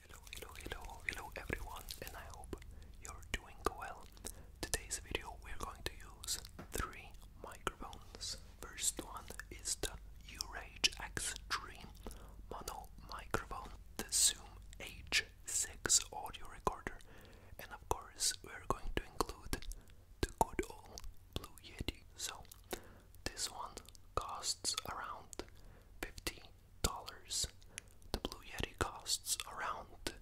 Hello, hello, hello, hello everyone, and I hope you're doing well. Today's video we're going to use three microphones. First one is the Urage X3 mono microphone, the Zoom H6 audio recorder, and of course we're going to include the good old Blue Yeti. So this one costs around 50 dollars. The Blue Yeti costs around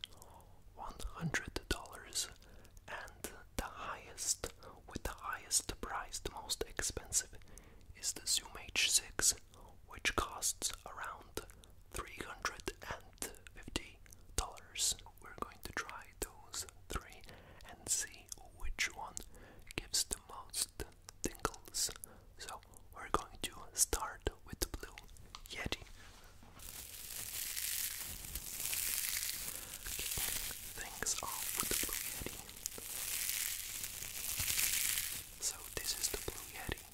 one hundred dollars, and the highest, with the highest price, the most expensive, is the Zoom H6, which costs around three hundred and fifty dollars. We're going to try those three and see which one gives the most tingles. So we're going to start with the blue Yeti. things off the blue Yeti. So this is the blue Yeti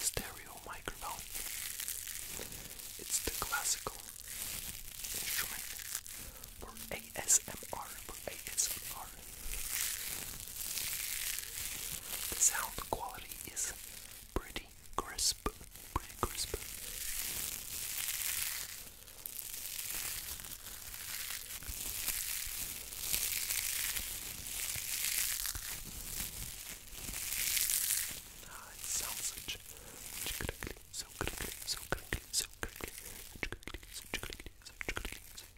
stereo microphone. It's the classical instrument for ASMR, ASMR. The sound quality is pretty crisp, pretty crisp. Ah, it sounds such so crinkly, so crinkly, so crinkly, so crinkly, so crinkly, so crinkly, so crinkly, so crinkly, so Okay,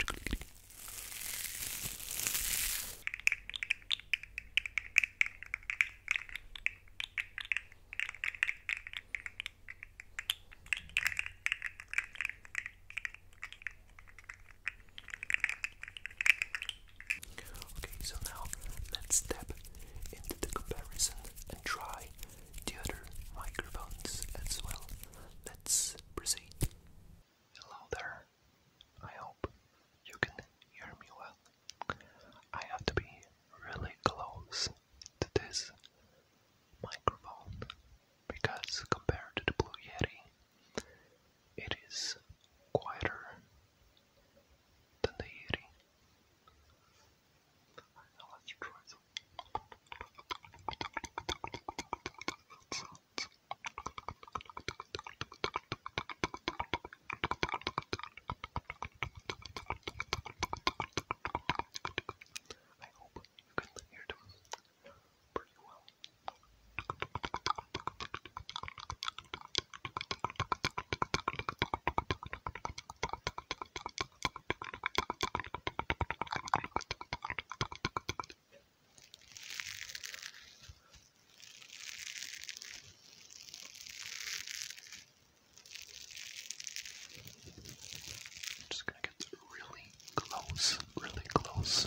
so now let's step into the comparison and try the other microphones as well. Let's Please proceed. Hello there. I hope you can hear me well. I have to be really close to this microphone because compared to the Blue Yeti, it is quieter than the Yeti. Now let's try I hope you can hear them pretty well. I'm just gonna get really close, really close.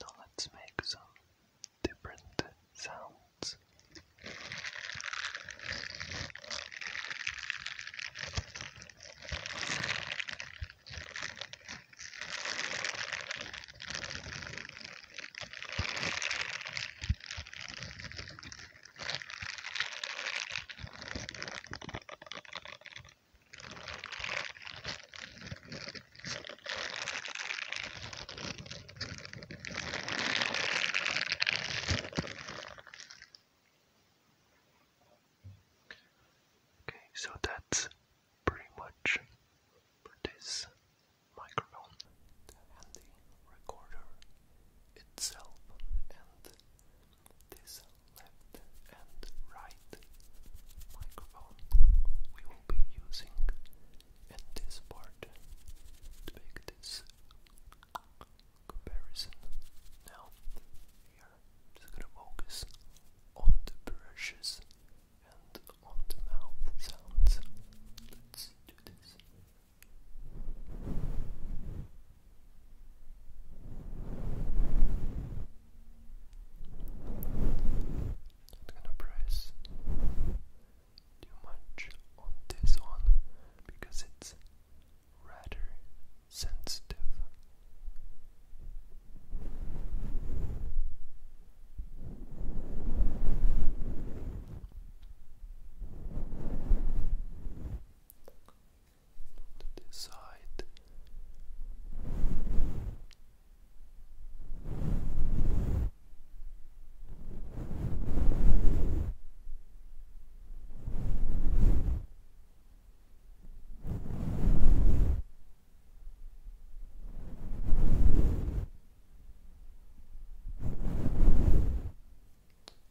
Now let's make some different sounds. Okay, so that's pretty much for this microphone and the recorder itself and this left and right microphone we will be using in this part to make this comparison. Now here i just gonna focus on the brushes and on the mouth sounds. Let's do this. Not gonna press too much on this one because it's rather sensitive to this side.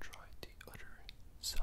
Try the other side.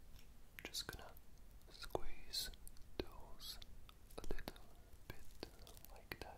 just gonna squeeze those a little bit like that.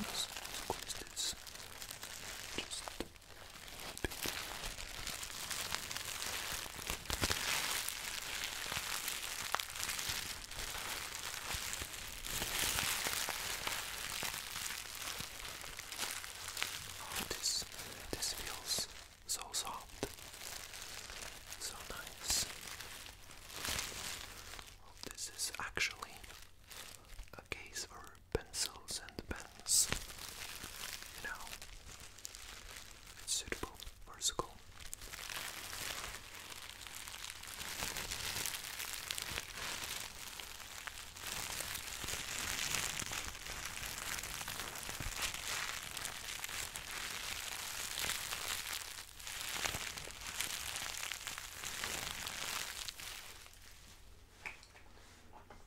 Let's squeeze this. Just a bit. Oh, this this feels so soft, so nice. This is actually a case for pencils and pens. You know, suitable for school.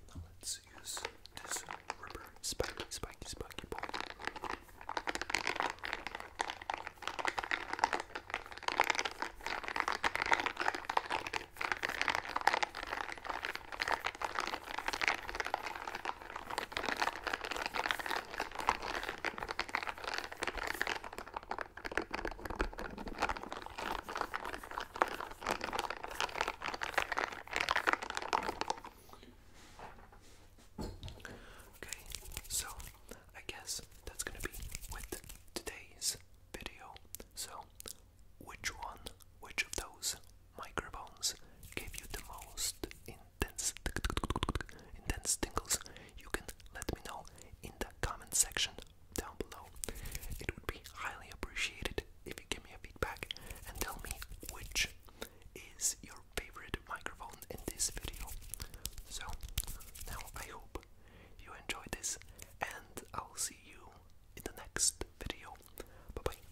Now let's use this rubber spiky, spiky, spiky ball. Now Okay, so I guess that's gonna be with today's video. So, which one, which of those microphones gave you the most in intense, tingles, you can let me know in the comment section down below. It would be highly appreciated if you give me a feedback and tell me which is your favorite microphone in this video. So, now I hope you enjoyed this and I'll see you in the next video. Bye bye.